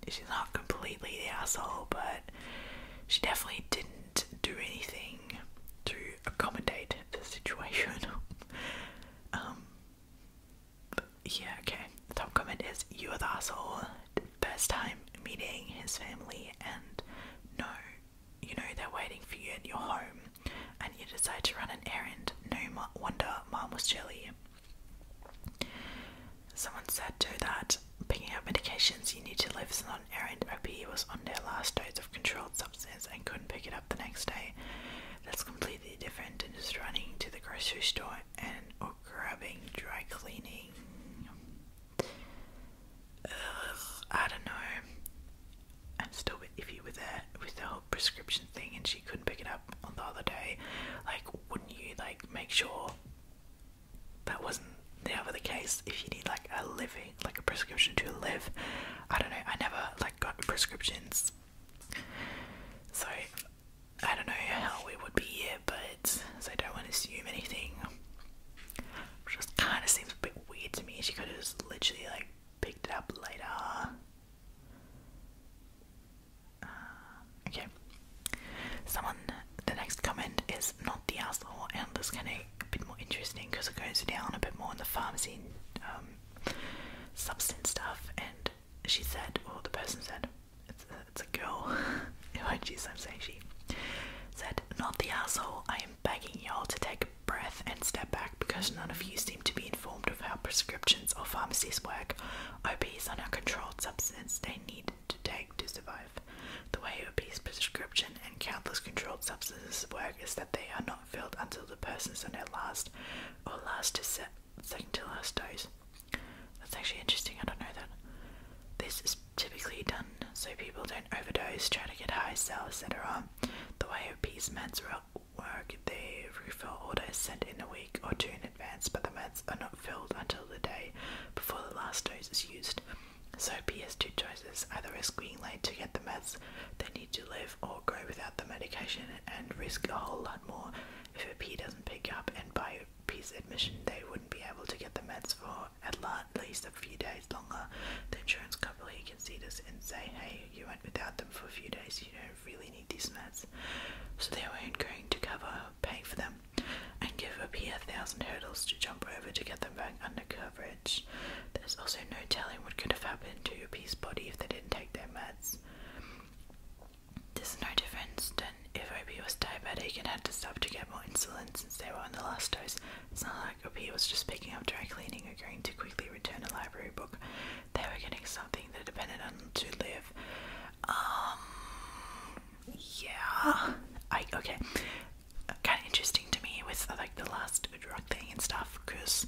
Speaker 1: she's not completely the asshole, but she definitely didn't do anything to accommodate the situation. um, yeah, okay. The top comment is You are the asshole. First time meeting his family, and no, you know they're waiting for you at your home, and you decide to run an errand. No wonder mom was chilly. Someone said too that picking up medications you need to leave us on errand. OPE was on their last dose of controlled substance and couldn't pick it up the next day. That's completely different than just running to the grocery store and or grabbing dry cleaning. Ugh, I don't know. I'm still a bit iffy with that, with the whole prescription thing, and she couldn't pick it up on the other day. Like, wouldn't you like make sure that wasn't never the case. If you need like a living, like a prescription to live, I don't know. I never like got prescriptions, so I don't know how we would be here. But I don't want to assume anything. Which just kind of seems a bit weird to me. She could have just literally like picked it up later. Um, okay. Someone, the next comment is not the asshole, and that's kind of a bit more interesting because it goes down a bit more on the pharmacy um, substance stuff. And she said, or the person said, it's a, girl. oh, jeez, I'm saying she said, not the asshole. I am begging y'all to take a breath and step back because none of you seem to be informed of how prescriptions or pharmacies work. OPs are not controlled substances; They need to take to survive. The way obese prescription and countless controlled substances work is that they are not filled until the person's on their last or last to second to last dose. That's actually interesting, I don't know that. This is typically done so people don't overdose, try to get high, sell, etc. The way obese meds work, the refill order is sent in a week or two in advance, but the mats are not filled until the day before the last dose is used. So PS two doses are the risk being late to get the meds they need to live or go without the medication and risk a whole lot more if a P doesn't pick up and by P's admission they wouldn't be able to get the meds for at least a few days longer. The insurance company can see this and say, hey, you went without them for a few days, you don't really need these meds. So they were going to cover pay for them, and give a peer a thousand hurdles to jump over to get them back under coverage. There's also no telling what could have happened to a body if they didn't take their meds. There's no difference than if OP was diabetic and had to stop to get more insulin since they were on the last dose. It's not like OP was just picking up dry cleaning or going to quickly return a library book. They were getting something that depended on to live. Um, yeah. I okay. Kind of interesting to me with uh, like the last drug thing and stuff, because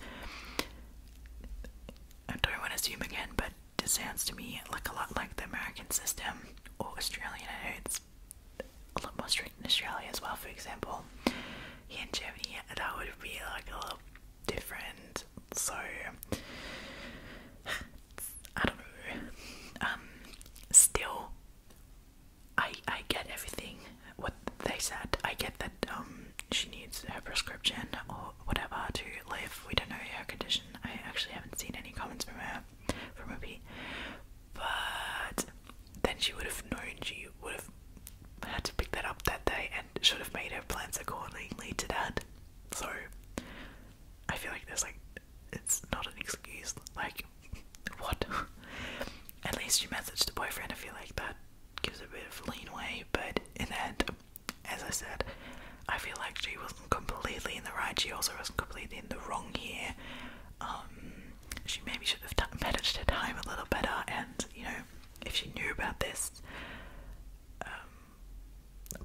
Speaker 1: I don't want to assume again, but it sounds to me like a lot like the American system or Australian. it's a lot more strict in Australia as well. For example, here in Germany, that would be like a little different. So I don't know. Um, still, I I get everything what they said. I get that um she needs a prescription or whatever to live. We don't know her condition. I actually haven't seen any comments from her from her P. But then she would have known. She would have had to pick that up that day and should have made her plans accordingly to that. So I feel like there's like it's not an excuse. Like, what? At least you messaged the boyfriend. I feel like that gives a bit of leeway. But in the end, as I said, I feel like she wasn't completely in the right. She also wasn't completely in the wrong here. Um, she maybe should have managed her time a little better. And you know, if she knew about this, um,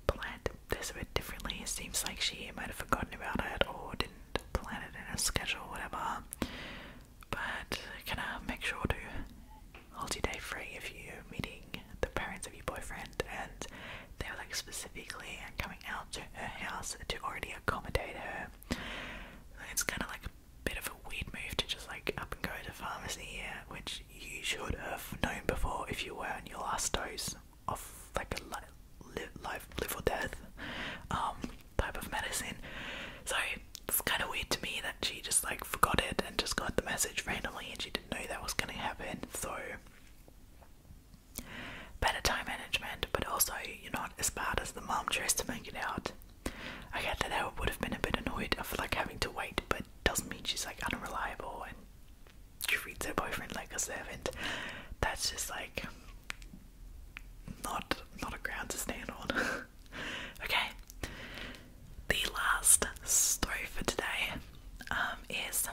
Speaker 1: planned this a bit differently. It seems like she might have forgotten about it or didn't plan it in her schedule, whatever. But can I make sure to hold your day free if you're meeting the parents of your boyfriend and they were like specifically coming out to her house to already accommodate her. It's kind of like a bit of a weird move to just like up and go to pharmacy, yeah, which you should have known before if you were on your last dose of like a li live, life, live or death um, type of medicine. So it's kind of weird to me that she just like forgot it and just got the message randomly and she didn't know that was going to happen. So better time management, but also you're not as bad as the mom tries to make it out. I get that I would have been a bit annoyed of like having to wait, but doesn't mean she's like unreliable and treats her boyfriend like a servant. That's just like not not a ground to stand on. okay. The last story for today um, is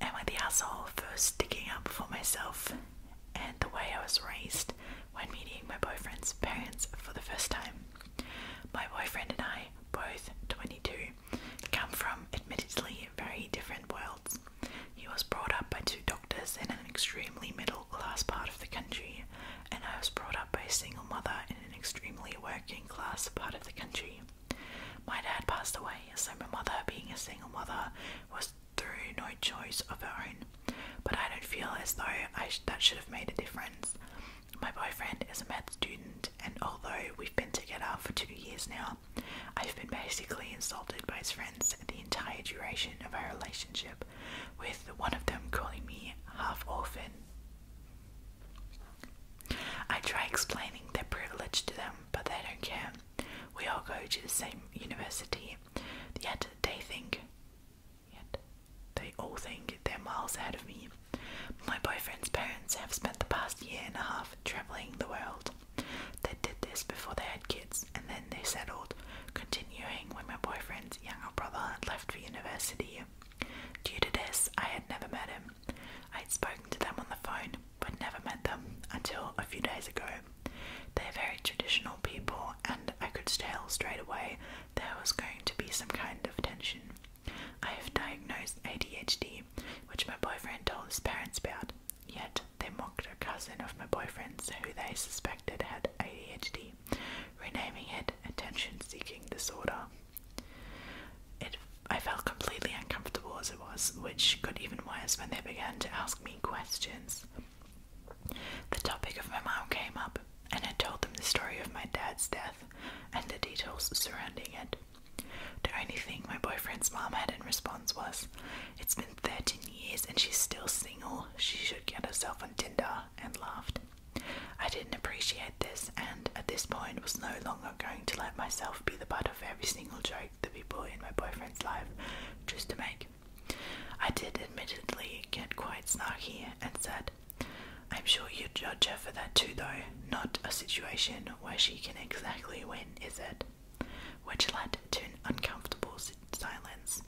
Speaker 1: Am I the asshole for sticking up for myself and the way I was raised when meeting my boyfriend's parents for the first time? My boyfriend and I, both 22, come from admittedly very different worlds. He was brought up by two doctors in an extremely middle class part of the country, and I was brought up by a single mother in an extremely working class part of the country. My dad passed away, so my mother, being a single mother, was through no choice of her own. But I don't feel as though that should have made a difference. My boyfriend is a med student, and although we've been together for two years now, I've been basically insulted by his friends the entire duration of our relationship, with one of them calling me half orphan. I try explaining their privilege to them, but they don't care. We all go to the same university, yet they think, yet they all think they're miles ahead of me. My boyfriend's parents have spent the past year and a half traveling the world. They did this before they had kids and then they settled, continuing when my boyfriend's younger brother had left for university. Due to this, I had never met him. I had spoken to them on the phone, but never met them until a few days ago. They're very traditional people, and I could tell straight away there was going to be some kind of tension. I have diagnosed ADHD, which my boyfriend told his parents about. Yet they mocked a cousin of my boyfriend's who they suspected had ADHD, renaming it attention seeking disorder. It, I felt completely uncomfortable as it was, which got even worse when they began to ask me questions. The topic of my mom came up, and I told them the story of my dad's death and the details surrounding it. The only thing my boyfriend's mom had in response was, It's been 13 years and she's still single. She should get herself on Tinder, and laughed. I didn't appreciate this, and at this point was no longer going to let myself be the butt of every single joke the people in my boyfriend's life chose to make. I did admittedly get quite snarky and said, I'm sure you'd judge her for that too, though. Not a situation where she can exactly win, is it? which led to an uncomfortable silence.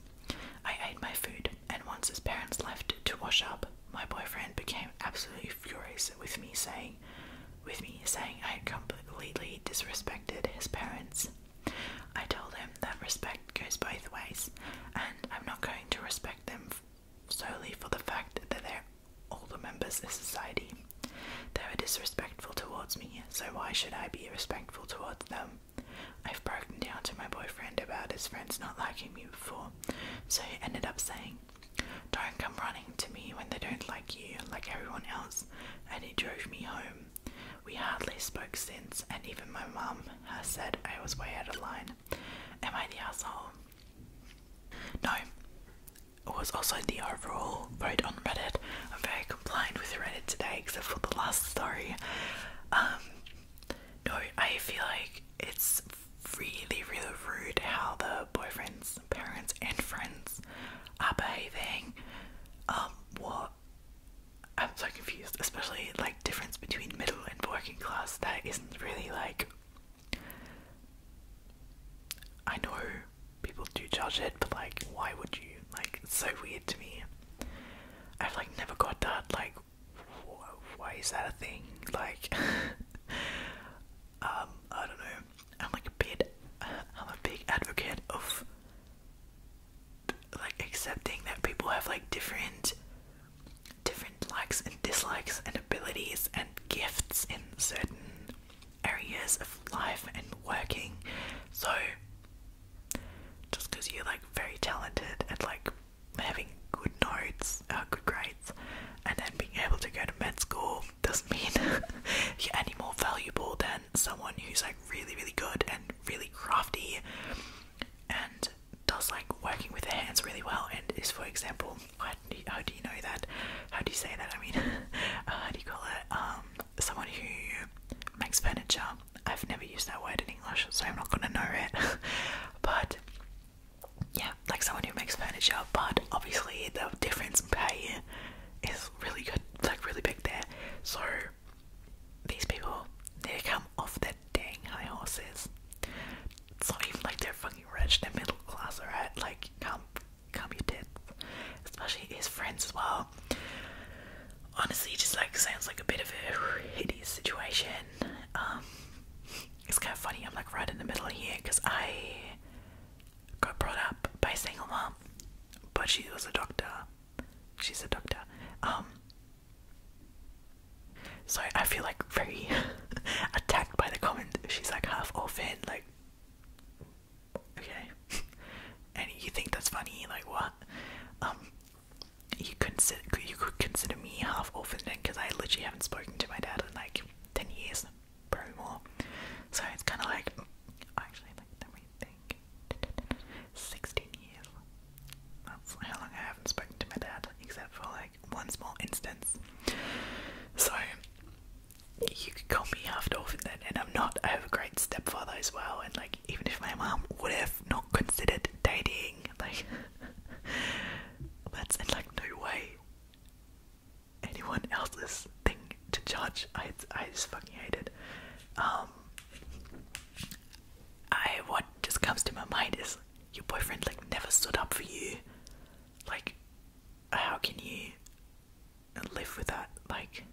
Speaker 1: I ate my food, and once his parents left to wash up, my boyfriend became absolutely furious with me, saying, "With me saying I had completely disrespected his parents." I told him that respect goes both ways, and I'm not going to respect them solely for the fact that they're older members of society. They were disrespectful towards me, so why should I be respectful towards them? I've broken down to my boyfriend about his friends not liking me before, so he ended up saying, Don't come running to me when they don't like you, like everyone else, and he drove me home. We hardly spoke since, and even my mum has said I was way out of line. Am I the asshole? No, was also the overall vote on Reddit. I'm very compliant with Reddit today, except for the last story. Um, no, I feel like it's really, really rude how the boyfriend's parents and friends are behaving. Um, what? I'm so confused, especially like difference between middle and working class that isn't really like I know people do judge it, but like, why would you? Like, it's so weird to me. I've like never got that. Like, why is that a thing? Like, um, I don't know. I'm like a big, I'm a big advocate of like accepting that people have like different, different likes and dislikes and abilities and gifts in certain areas of life and working. So just because you're like very talented and like having good notes, uh, good grades, and then being able to go to med school doesn't mean you're any more valuable than someone who's like really, really good and really crafty and does like working with their hands really well. And is, for example, how do you, how do you know that? How do you say that? I mean, uh, how do you call it? Um, someone who makes furniture. I've never used that word in English, so I'm not gonna know it. but yeah, like someone who makes furniture, but obviously the difference pay is really good, like really big there. So these people, they come off their dang high horses. It's not even like they're fucking rich, they're middle class, alright? Like, come commuted, especially his friends as well. Honestly, just like sounds like a bit of a hideous situation. Um, it's kind of funny. I'm like right in the middle here because I got brought up by a single mom, but she was a doctor. She's a doctor. Um, so I feel like very attacked by the comment. She's like half orphan, like okay? and you think that's funny? Like what? Um, you consider you could consider me half orphan then, because I literally haven't spoken to my dad in like ten years, probably more. So it's kind of like actually, like let me think, sixteen years. That's how long I haven't spoken to my dad, except for like one small instance. So you could call me half dolphin then, and I'm not. I have a great stepfather as well, and like even if my mom would have not considered dating, like that's in like no way anyone else's thing to judge. I I just fucking hate it. Um, I what just comes to my mind is your boyfriend like never stood up for you. Like, how can you and live with that. Like,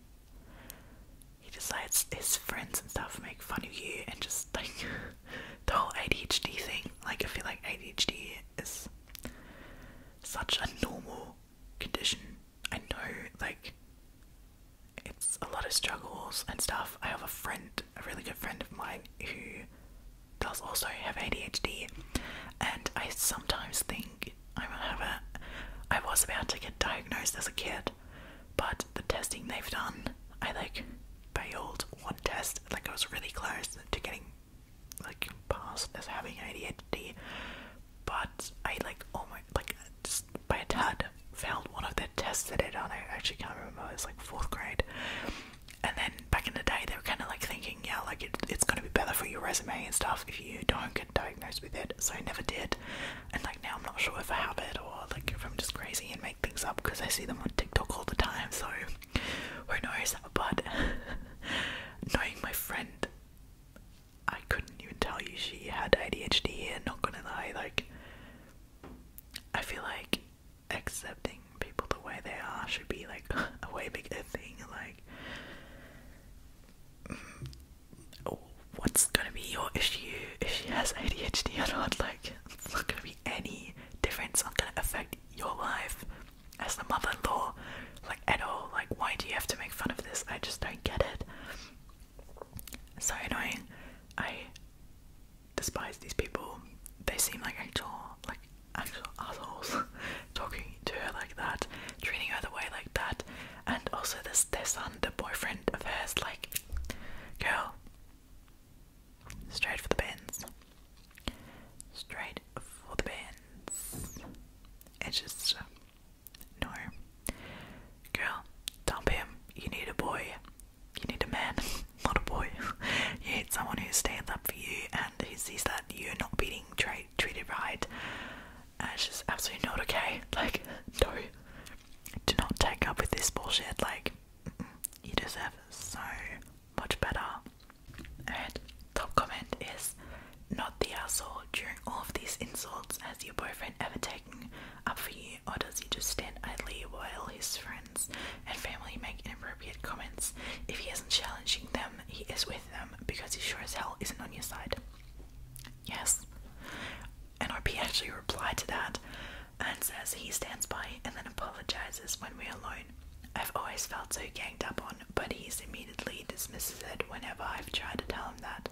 Speaker 1: he decides his friends and stuff make fun of you, and just like the whole ADHD thing. Like, I feel like ADHD is such a normal condition. I know, like, it's a lot of struggles and stuff. I have a friend, a really good friend of mine, who does also have ADHD, and I sometimes think like I have it. was about to get diagnosed as a kid, but the testing they've done, I like failed one test. Like I was really close to getting like passed as having ADHD, but I like almost oh like just by a tad failed one of the tests that they'd done. I actually can't remember. It was like fourth grade. And then back in the day, they were kind of like thinking, yeah, like it's going to be better for your resume and stuff if you don't get di diagnosed with it, so I never did. And like now I'm not sure if I have it or like if I'm just crazy and make things up because I see them on TikTok all the time, so who knows? But knowing my friend, I couldn't even tell you she had ADHD and not gonna lie, like I feel like accepting people the way they are should be like a way bigger thing, like what's gonna be your issue if she has ADHD or not? Like, it's not gonna be any difference. Not gonna affect your life as the mother-in-law, like at all. Like, why do you have to make fun of this? I just don't get it. So annoying. I despise these people. They seem like actual, like actual assholes. talking to her like that, treating her the way like that, and also this their son, the boyfriend of hers, like, girl, straight for the bins, straight for the bins. It's just no, girl, dump him. You need a boy. You need a man, not a boy. you need someone who stands up for you and who sees that you're not being treated right and it's just absolutely not okay. Like, no, do not take up with this bullshit. Like, you deserve so much better. And top comment is not the asshole during all of these insults. Has your boyfriend ever taken up for you, or does he just stand idly while his friends and family make inappropriate comments? If he isn't challenging them, he is with them because he sure as hell isn't on your side. Yes. NRP actually replied to that and says he stands by and then apologizes when we're alone. I've always felt so ganged up on, but he immediately dismisses it whenever I've tried to tell him that.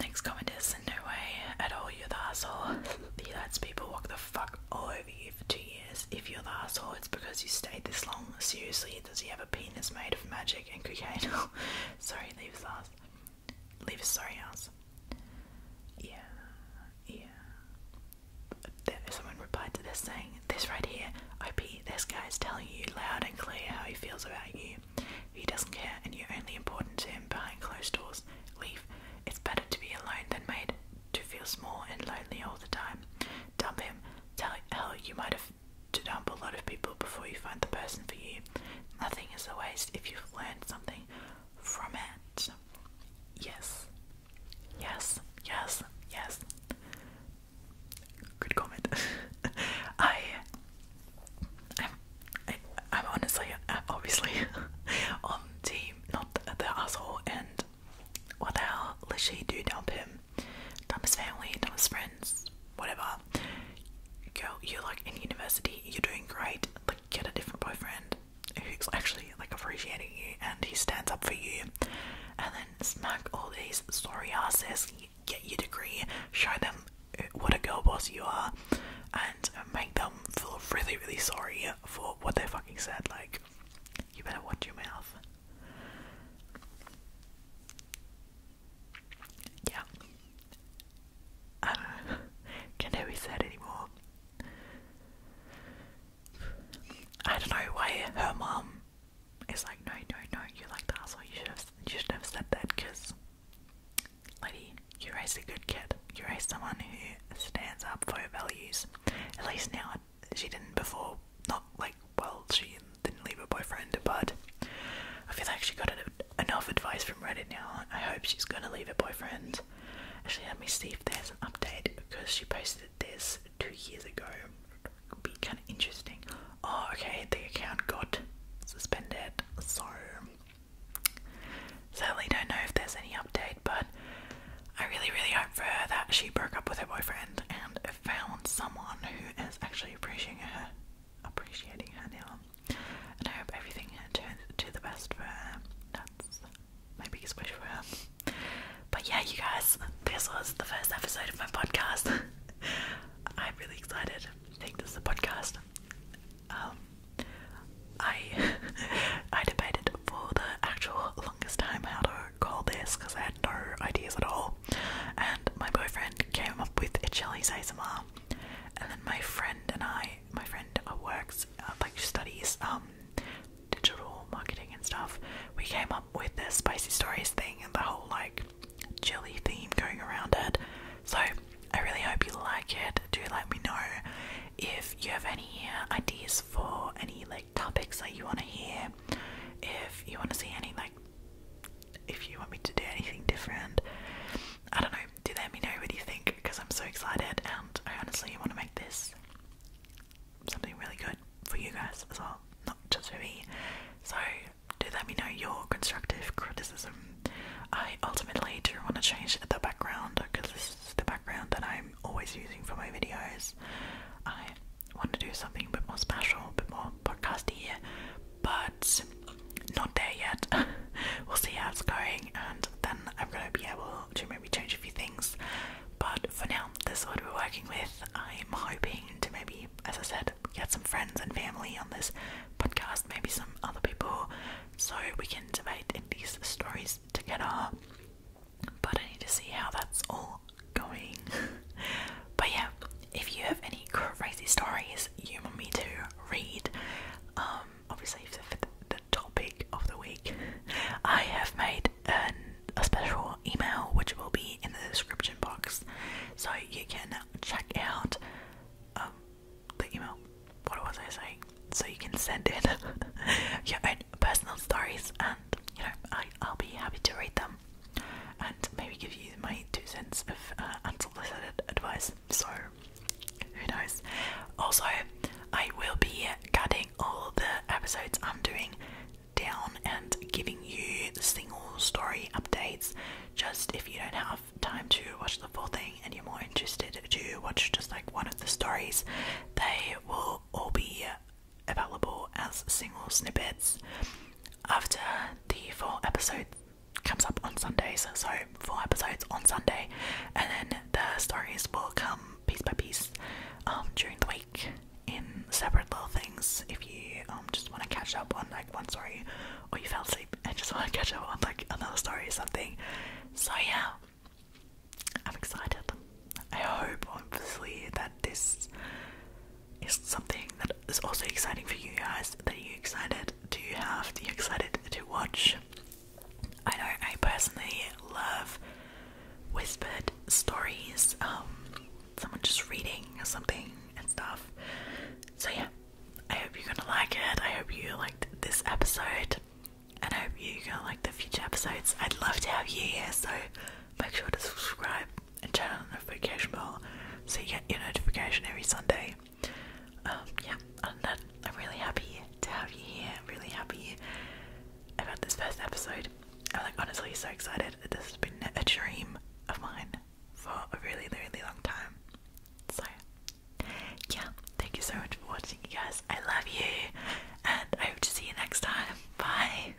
Speaker 1: Next comment is in no way at all you're the asshole. The United people walk the fuck all over you for two years. If you're the asshole, it's because you stayed this long. Seriously, does he have a penis made of magic and cocaine? sorry, leave us. Leave sorry ass. Yeah, yeah. someone replied to this saying, This right here, I OP, this guy is telling you loud and clear how he feels about you. He doesn't care and you're only important to him behind closed doors. Leave. It's better to be alone than made to feel small and lonely all the time. Dump him. Tell hell you might have to dump a lot of people before you find the person for you. Nothing is a waste if you've learned something from it. Yes. Yes. Yes. Yes. Good comment. I, I'm, I, i am honestly, obviously on team, not the asshole and what the hell does she do dump him? Dump his family, dump his friends, whatever. Girl, you're like in university, you're doing great. Like get a different boyfriend who's actually like appreciating you and he stands up for you. And then smack all these sorry asses, get your degree, show them what a girl boss you are, and make them feel really, really sorry for what they fucking said. Like, you better watch your mouth. Yeah. I don't know. Can't ever be anymore. I don't know why her mom is like, no, no, no, you're like that? asshole. You should have, you should have said that because, lady, you are a really good kid. You are raised someone who stands up for your values. At least now she didn't before. Not like, well, she didn't leave her boyfriend, but I feel like she got enough advice from Reddit now. I hope she's gonna leave her boyfriend. Actually, let me see if there's an update because she posted this two years ago. It'd be kind of interesting. Oh, okay, the account got suspended, so certainly don't know if there's any update, but I really, really hope for her that she broke up with her boyfriend and found someone who is actually appreciating her, appreciating her now. And I hope everything turns to the best for her. That's my biggest wish for her. But yeah, you guys, this was the first episode of my podcast. I'm really excited. I think this is a podcast. Um, I I debated for the actual longest time how to call this because I had no ideas at all. And my boyfriend came up with a Chili's ASMR. And then my friend and I, my friend works, uh, like studies um, digital marketing and stuff, we came up with the spicy stories thing and the whole like chili theme going around it. So I really hope you like it. Do let me know if you have any ideas for any like topics that you want to hear, if you want to see any like if you want me to do anything different. I don't know, do let me know what you think because I'm so excited and I honestly want to make this something really good for you guys as well, not just for me. So, do let me know your constructive criticism. I ultimately do want to change the background because this is the background that I'm always using for my videos. I want to do something a bit more special, a bit more podcasty, but not there yet. we'll see how it's going, and then I'm gonna be able to maybe change a few things. But for now, this is what we're working with. I'm hoping to maybe, as I said, get some friends and family on this podcast, maybe some other people, so we can debate these stories together. But I need to see how that's all going. but yeah, if you have any crazy stories you want me to read, um, obviously for the, topic of the week, I have made a special email which will be in the description box, so you can check out um, the email. What was I saying? So you can send in your own personal stories, and you know I, I'll be happy to read them and maybe give you my two cents of uh, unsolicited advice. So, who knows? Also, I will be cutting all the episodes I'm doing down and giving you single story updates. Just if you don't have time to watch the full thing and you're more interested to watch just like one of the stories, they will all be available as single snippets after the four episodes comes up on Sundays, so four episodes on Sunday, and then the stories will come piece by piece um, during the week in separate little things. If you um, just want to catch up on like one story, or you fell asleep and just want to catch up on like another story or something, so yeah, I'm excited. I hope obviously that this is something that is also exciting for you guys that you're excited to have, that you excited to watch. I know I personally love whispered stories, um, someone just reading something and stuff. So, yeah, I hope you're gonna like it. I hope you liked this episode, and I hope you're gonna like the future episodes. I'd love to have you here, so make sure to subscribe and turn on the notification bell so you get your notification every Sunday. Um, yeah, I'm really happy to have you here. I'm really happy about this first episode. I'm like honestly so excited. This has been a dream of mine for a really, really long time. So, yeah, thank you so much for watching, you guys. I love you, and I hope to see you next time. Bye.